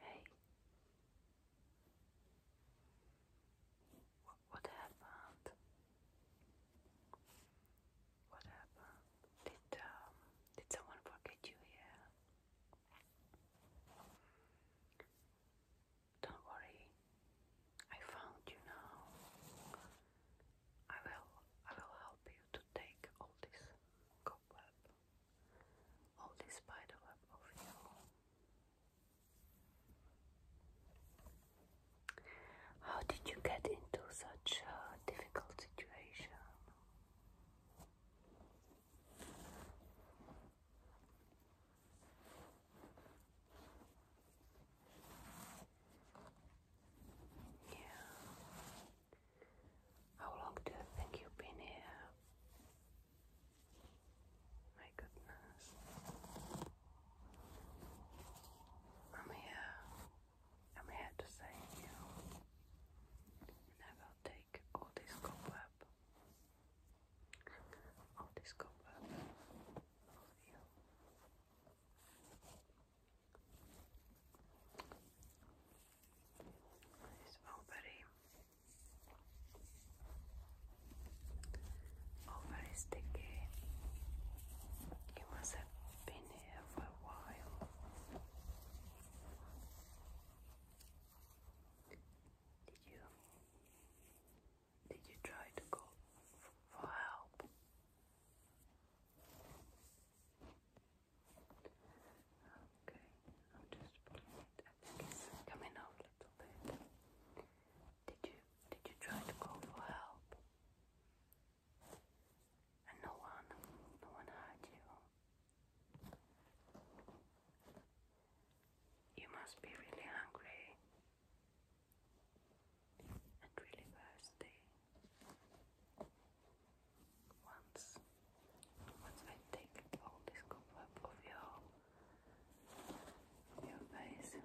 Hey, what, happened? What happened? Did um, did someone forget you here? Don't worry, I found you now. I will, I will help you to take all this cobweb. Holy spiderweb of you. How did you get into such a difficult situation? Yeah. How long do you think you've been here? My goodness. I'm here. I'm here to save you. And take all this cobweb. All this cobweb of you. Nice. Oh, buddy. Oh, very sticky. must have been here for a while. Did you? Did you try to go for help? Okay, I'm just pulling it. I think it's coming off a little bit. Did you did you try to call for help? And no one, no one heard you. You must be really hungry and really thirsty. Once, once I take all this cover of your, your face,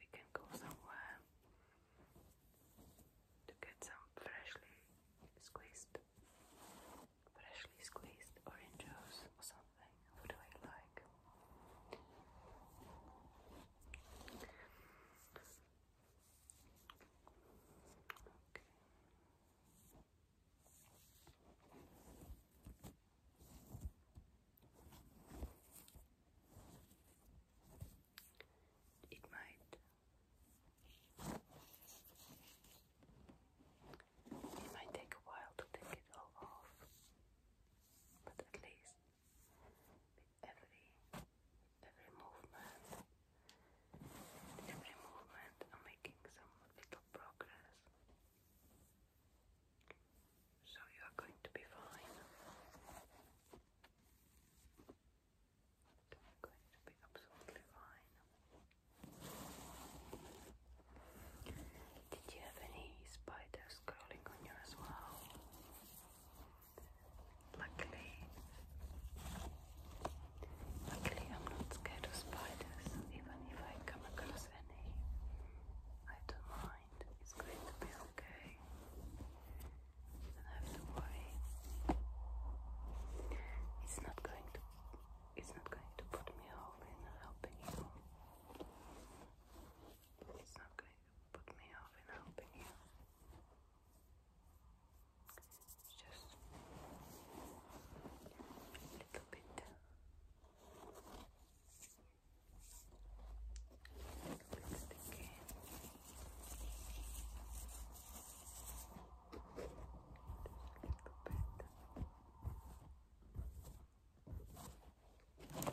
we can go somewhere to get some freshly squeezed, freshly squeezed orange juice or something. What do I like? It might it might take a while to take it all off, but at least every every movement. every movement I'm making some little progress. So you are going to be fine. You're going to be absolutely fine. Did you have any spiders scrolling on you as well. Luckily, luckily I'm not scared of spiders. Even if I come across any, I don't mind. It's going to be okay. don't have to worry. It's not going to. It's not going to put me off in helping you. It's not going to put me off in helping you. It's just a little bit. Sticky. Just a little bit. Soon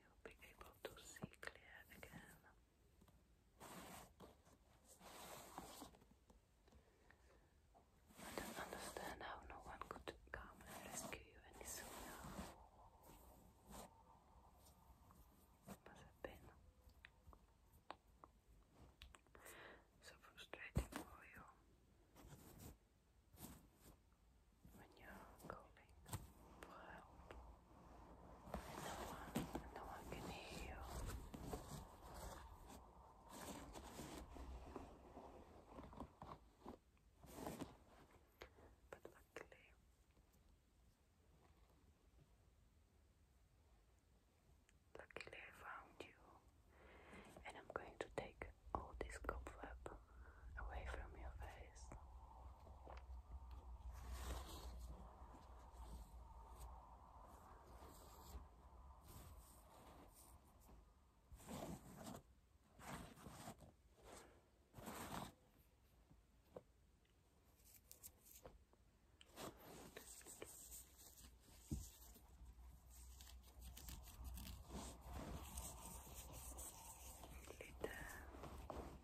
you'll be able to see clear again. I don't understand how no one could come and rescue you any sooner. It must have been so frustrating for you when you're calling for help no one, no one can hear you. But luckily, luckily I found you, and I'm going to take all this cobweb away from your face. Little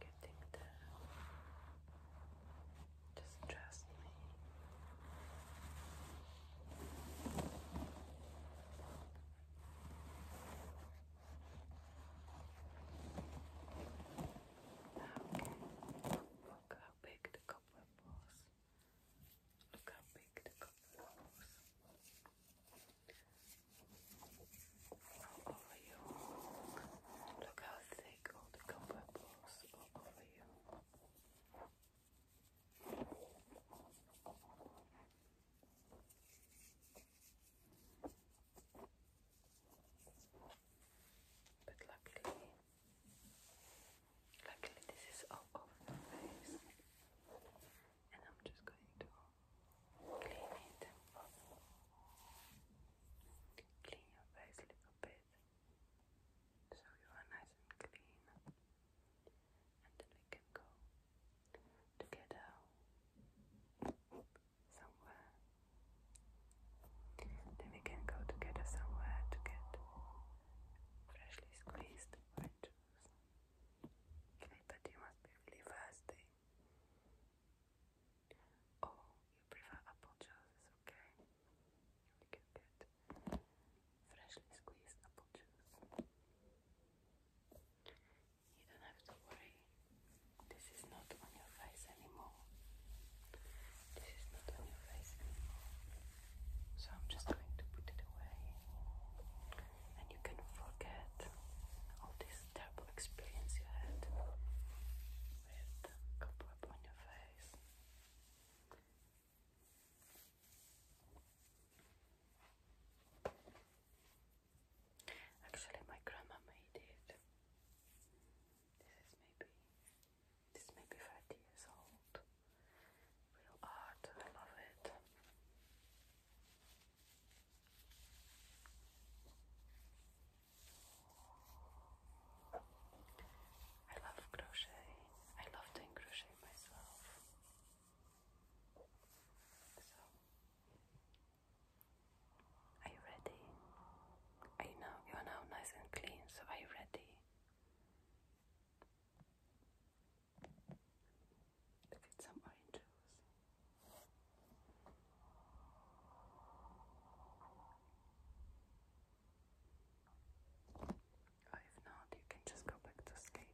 Getting there. Just trust me. Okay. Look how big the cobweb was. Look how big the cover was. over you. Look how thick all the cover was over you. But luckily, Luckily, this is all over my face, and I'm just going to clean it. Clean your face a little bit so you are nice and clean, and we can go together somewhere then we can go together somewhere to get freshly squeezed orange juice. but you must be really thirsty. Oh, you prefer apple juice, okay? You can get freshly squeezed apple juice. You don't have to worry this is not on your face anymore. This is not on your face anymore. So I'm just going to put it away. And you can forget all this terrible experience you had with cobweb on your face. Actually, my grandma made it. This is maybe this maybe 30 years old. Real art, I love it. I love crochet. I love doing crochet myself. So are you ready? I you know you're now nice and clean, so are you ready? Look at some orange oh, if not, you can just go back to sleep.